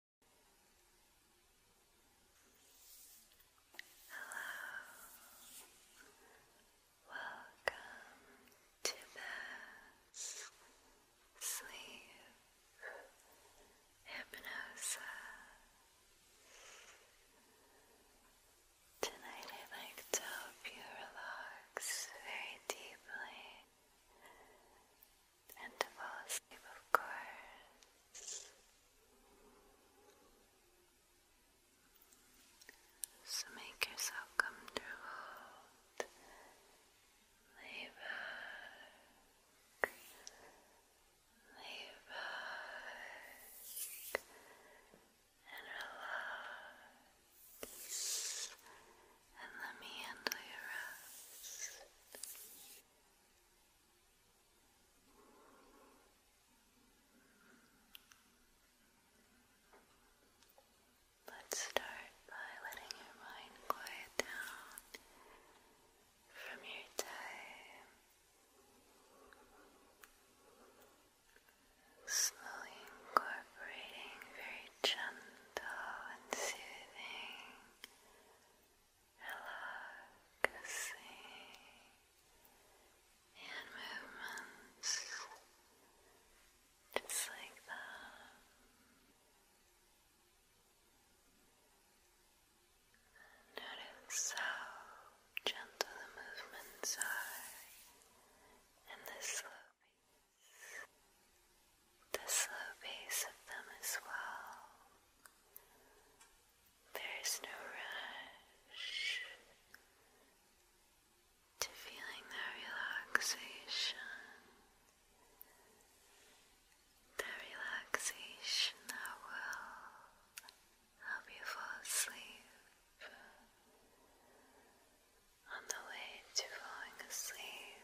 Hello, welcome to this sleep hypnosis. Tonight i like to help you very deeply and of course. So make yourself comfortable. Lay back. Lay back. And relax. And let me handle your rest. Let's start by letting your mind quiet down from your day. Slowly incorporating very gentle and soothing relaxing and movements just like that. notice how gentle the movements are in this slow piece the slow pace of them as well. There is no rush to feeling that relaxation, that relaxation that will help you fall asleep. On the way to falling asleep,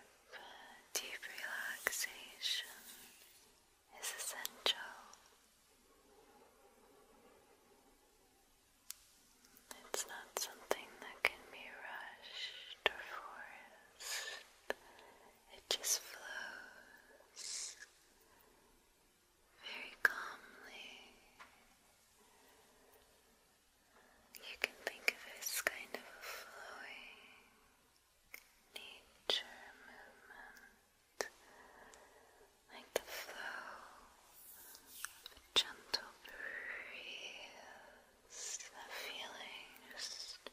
deep relaxation is essential. It's not something that can be rushed or forced. It just flows very calmly. You can think of it as kind of a flowing nature movement, like the flow of a gentle breeze, that feeling just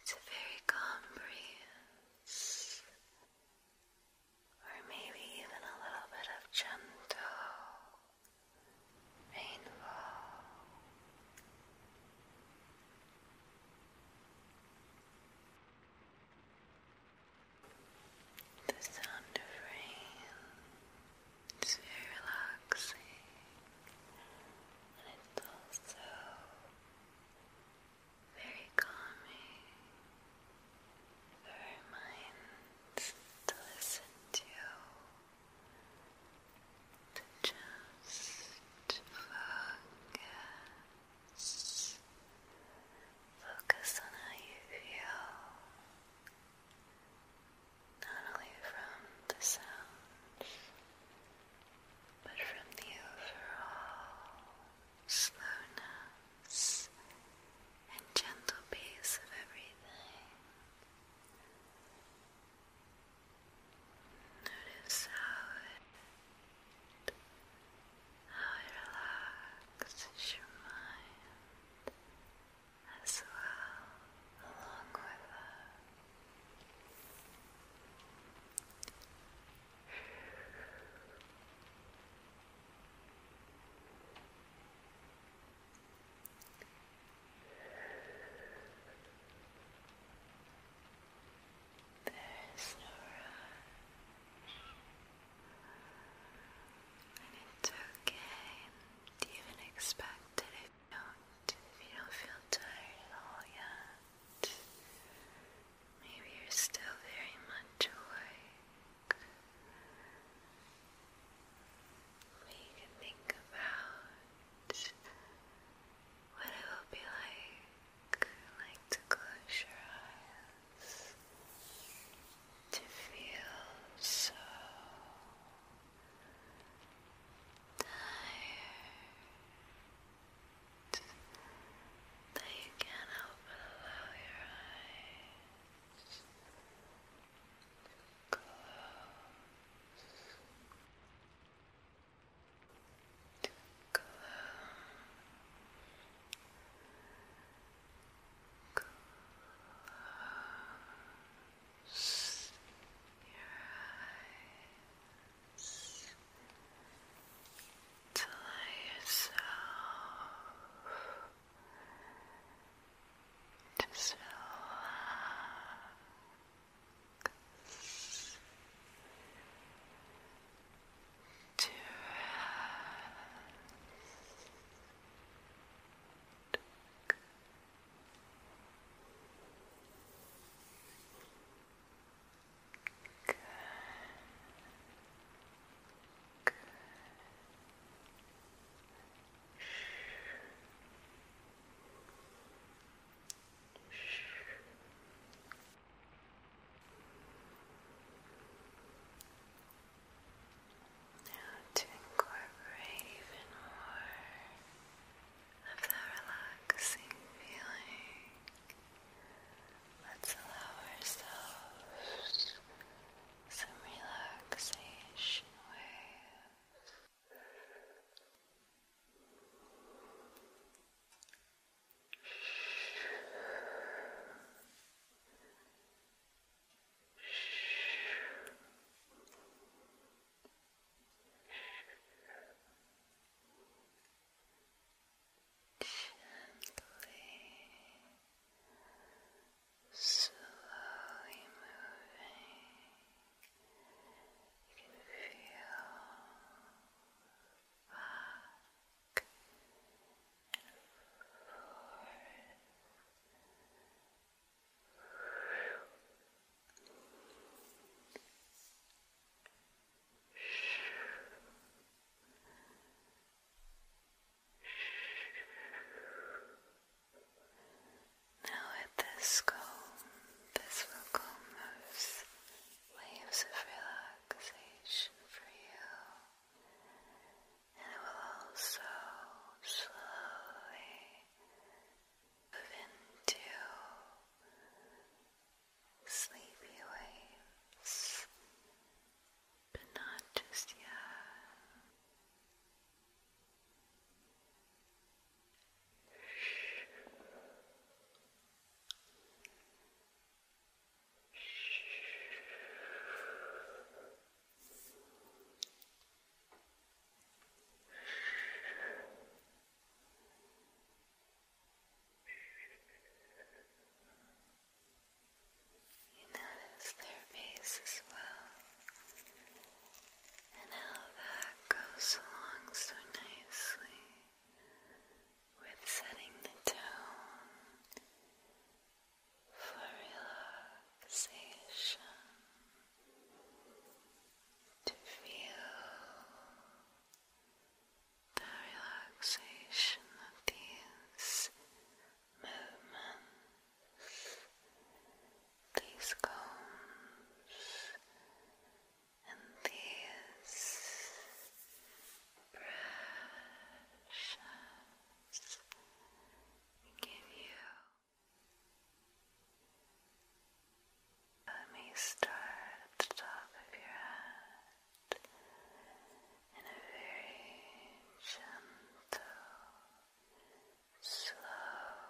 it's a very calm breeze or maybe even a little bit of gentle rainfall. The sound of rain is very relaxing and it's also very calming for our to listen to, to just focus, focus on how you feel, not only from the sounds, but from the overall slowness, and gentle pace of everything. Notice how it, how it relaxes your mind as well, along with there's no And it's okay. you even expect if you don't feel tired at all yet? Maybe you're still very much awake. But can think about what it will be like, like to close your eyes, to feel so tired that you can't help but allow your eyes to close, to close, close your eyes to lay yourself just relax to rest. Good. Good. Now to incorporate even more of that relaxing feeling Let's allow ourselves some relaxation waves. Shh. Shh. Gently, slowly moving. You can feel back now at this comb, this will comb those waves of relaxation for you, and it will also slowly move into sleepy waves, but not just yet. Shh. Shh. You notice their base as well, and how that goes along so nicely with setting the tone for relaxation to feel the relaxation of these movements, these combs, and these brushes give you. Let me start at the top of your head in a very gentle, slow,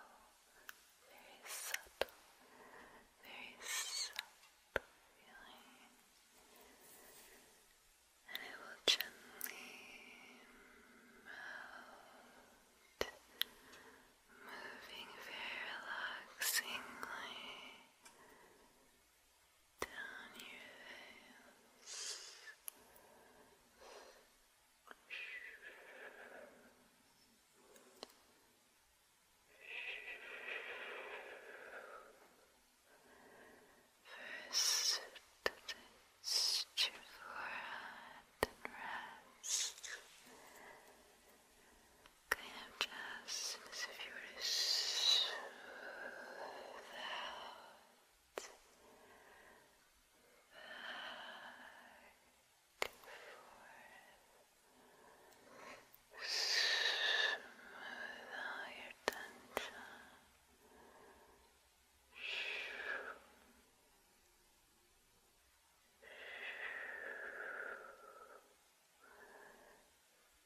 very subtle, very subtle feeling. And it will gently melt, moving very relaxingly down your First, touch your forehead kind of just as if you were to smooth out back and forth, tension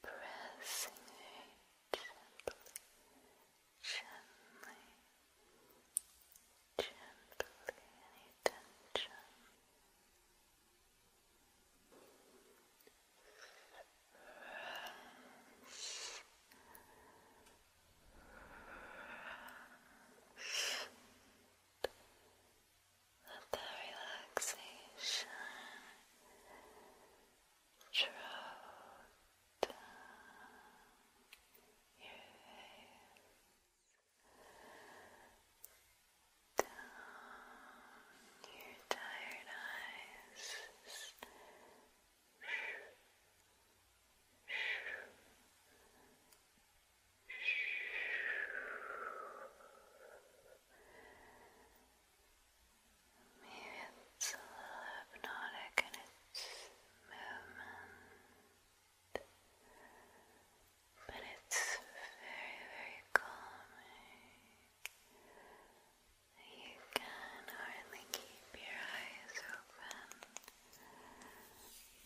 pressing it gently, gently, gently, any tension let the relaxation drop down your face, down your tired eyes. Maybe it's a little hypnotic in its movement, but it's very, very calming. You can hardly keep your eyes open.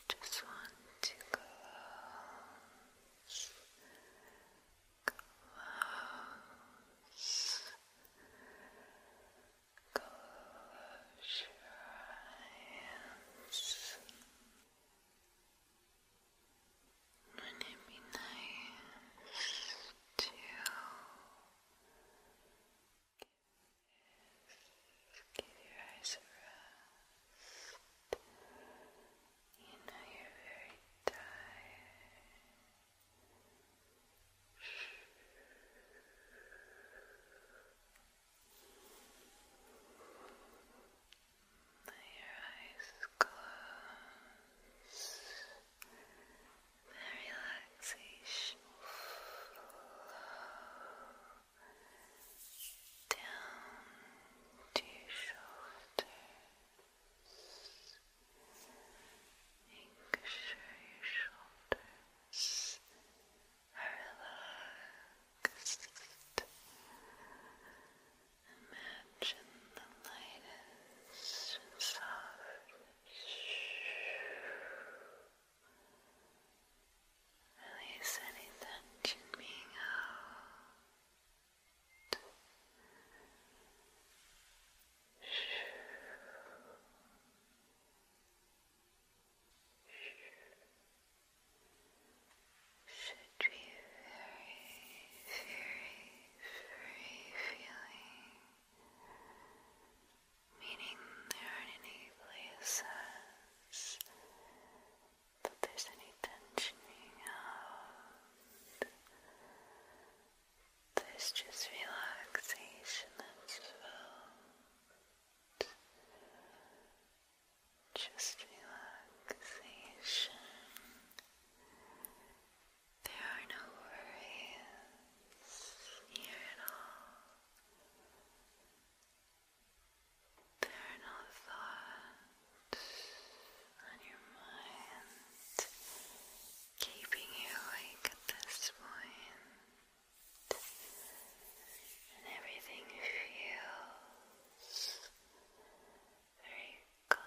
just want to close. Close. Close your eyes. would it be nice to give your eyes a rest? You know you're very tired. Let your eyes close. The relaxation flow down to your Make sure your shoulders are relaxed. Imagine the lightest and softest. Release any tension being held should be very, very free feeling, meaning there are any places if there's any tensioning out. There's just relaxation that's felt. Just relaxation. There are no worries here at all. There are no thoughts on your mind, keeping you awake at this point, and everything feels very calm.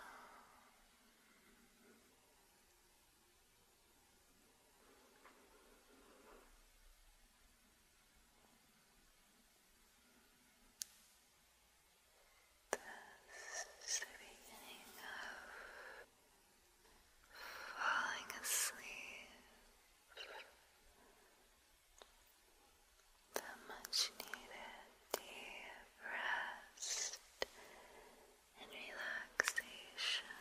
This is the beginning of falling asleep. The much needed deep rest and relaxation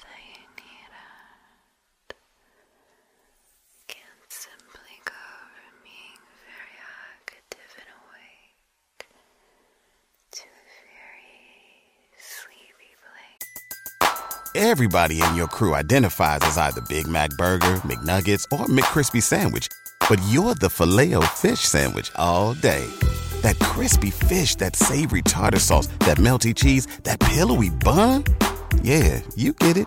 that you needed Everybody in your crew identifies as either Big Mac Burger, McNuggets, or McCrispy Sandwich, but you're the filet o fish Sandwich all day. That crispy fish, that savory tartar sauce, that melty cheese, that pillowy bun. Yeah, you get it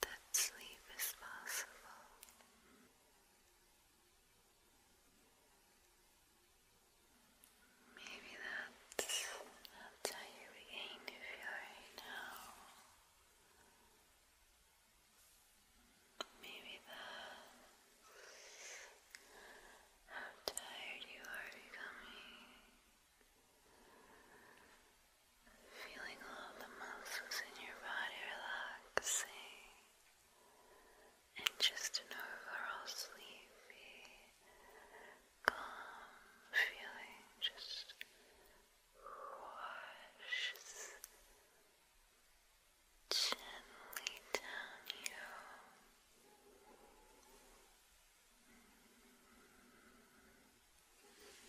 that sleep is possible. Maybe that's, how you begin to feel right now. Maybe that's how tired you are becoming. Feeling all the muscles in your body relaxing and just an overall sleepy, calm feeling just washes gently down you. Maybe, maybe something like that. as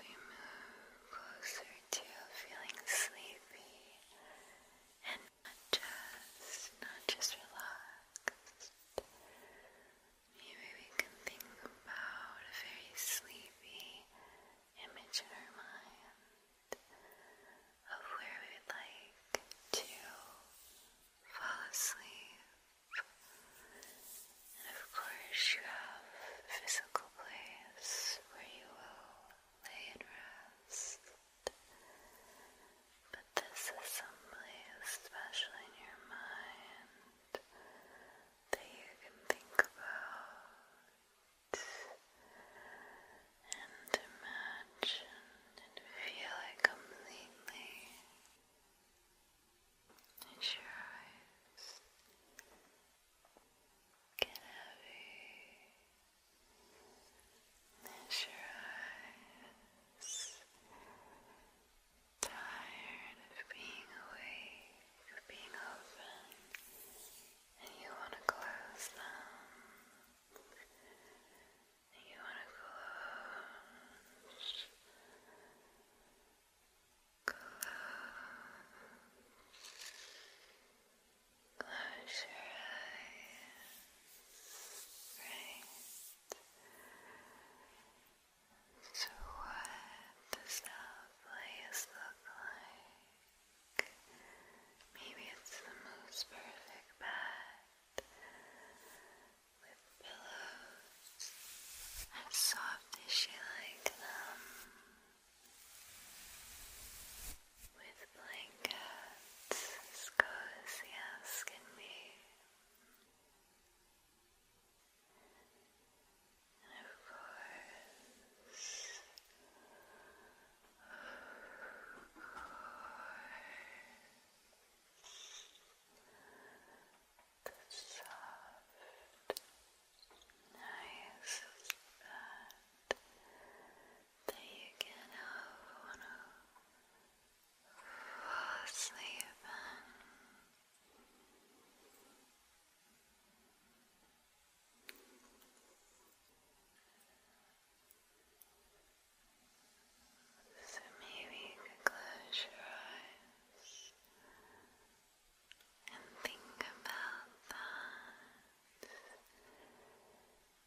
we move closer to feeling sleepy and not just, not just relaxed. Maybe we can think about a very sleepy image in our mind of where we would like to fall asleep. And of course, you have a physical place where you will lay and rest. But this is someplace special in your mind that you can think about and imagine and feel it completely. It's your eyes. Get heavy. Is your eyes tired of being awake, of being open, and you want to close them? And you want to close, close. Close your eyes. Right. So what does that place look like? Maybe it's the most perfect bed with pillows as soft as you like them with blankets cozy as can And of course, the soft, nice bed that you can help fall asleep in. So maybe you can close your eyes and think about that.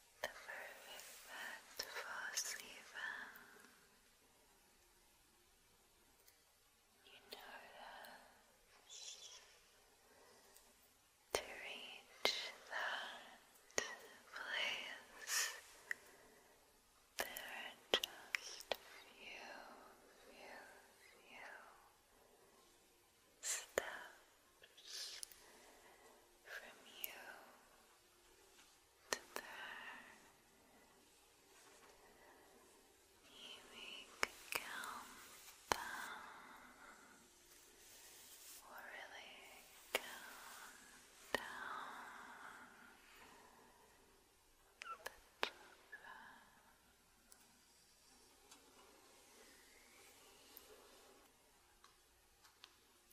the perfect bed for sleeping. You notice to reach that place. There are just few, few, few steps from you there. You make a countdown. really count down.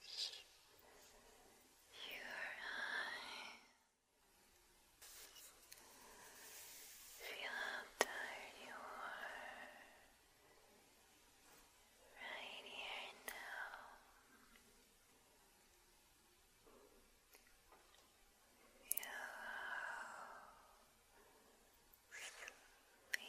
Close your eyes. Feel how tired you are right here now. Feel how sleepy.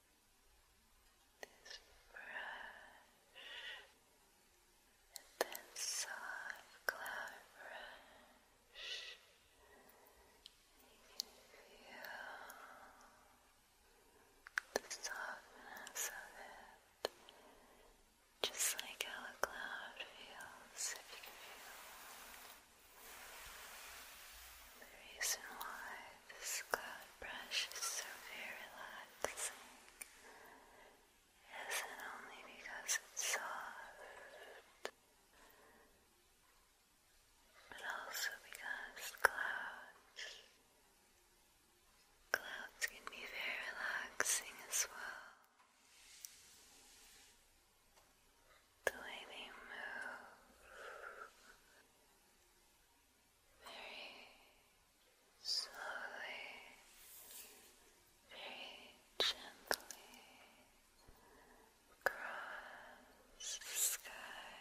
this brush and then soft cloud brush you can feel the softness of it just like how a cloud feels if you can feel the reason why this cloud brush is so very relaxing. Isn't only because it's soft, but also because clouds clouds can be very relaxing as well. The way they move very slowly, very gently across the sky,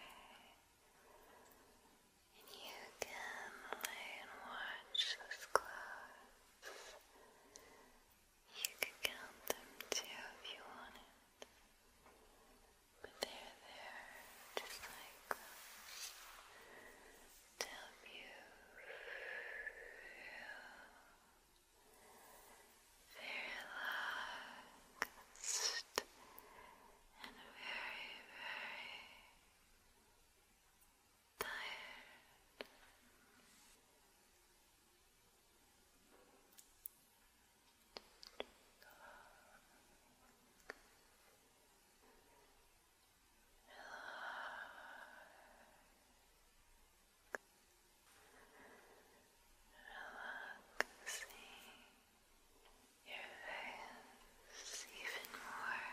and you can lay and watch those clouds. You could count them too if you wanted. But they're there just like to help you feel very relaxed and very, very tired. Relaxing your face even more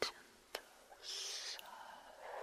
gentle, soft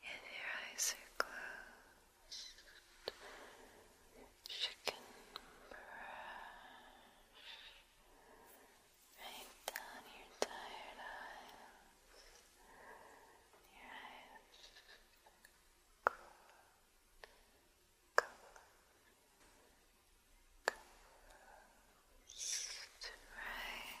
If your eyes are closed, you brush right down your tired eyes. Your eyes cool, cool, cool. Right.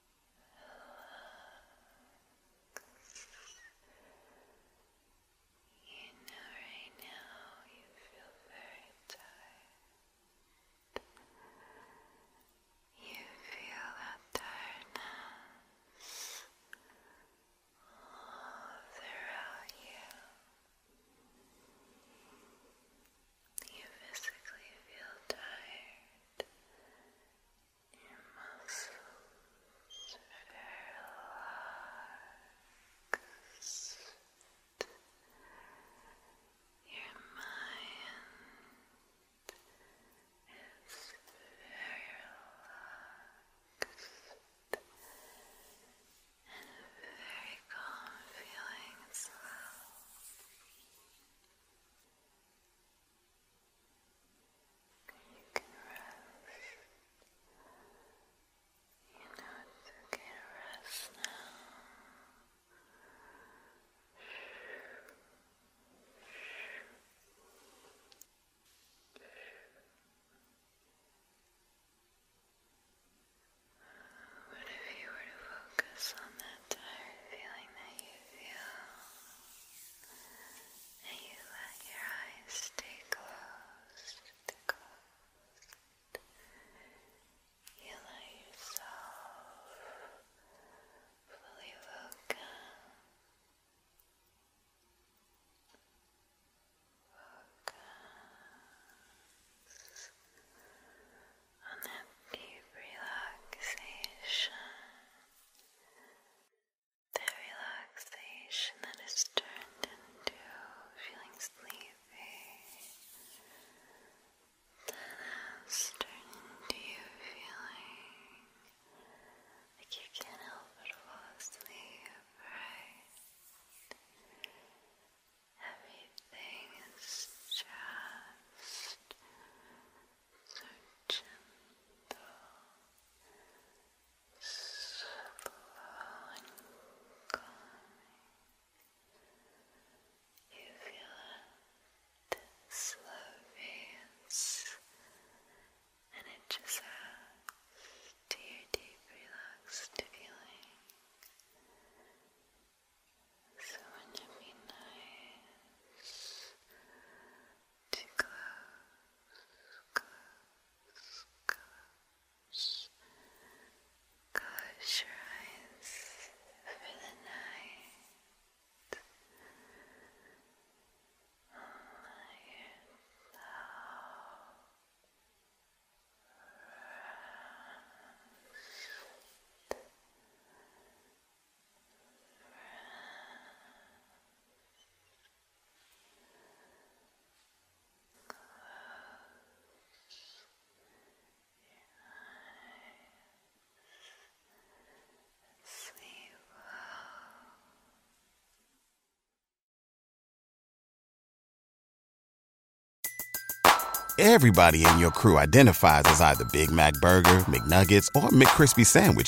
You know right now you feel very tired. You feel that tiredness all throughout you. You physically feel tired muscles relaxed. Your mind is relaxed and very calm feeling you can rest. You know it's okay rest now. What if you were to focus on that tired feeling that you feel? and you let your eyes stay closed, You let yourself fully welcome, focus on that deep relaxation. The relaxation that is turned into feeling sleepy, that turned into you feeling like you can't help but fall asleep, Everything is just so gentle, slow and You feel it slow and it just adds to your deep relaxed feeling. So wouldn't it be nice to close, close, close. Close your eyes for the night. Rest. Everybody in your crew identifies as either Big Mac Burger, McNuggets, or McCrispy Sandwich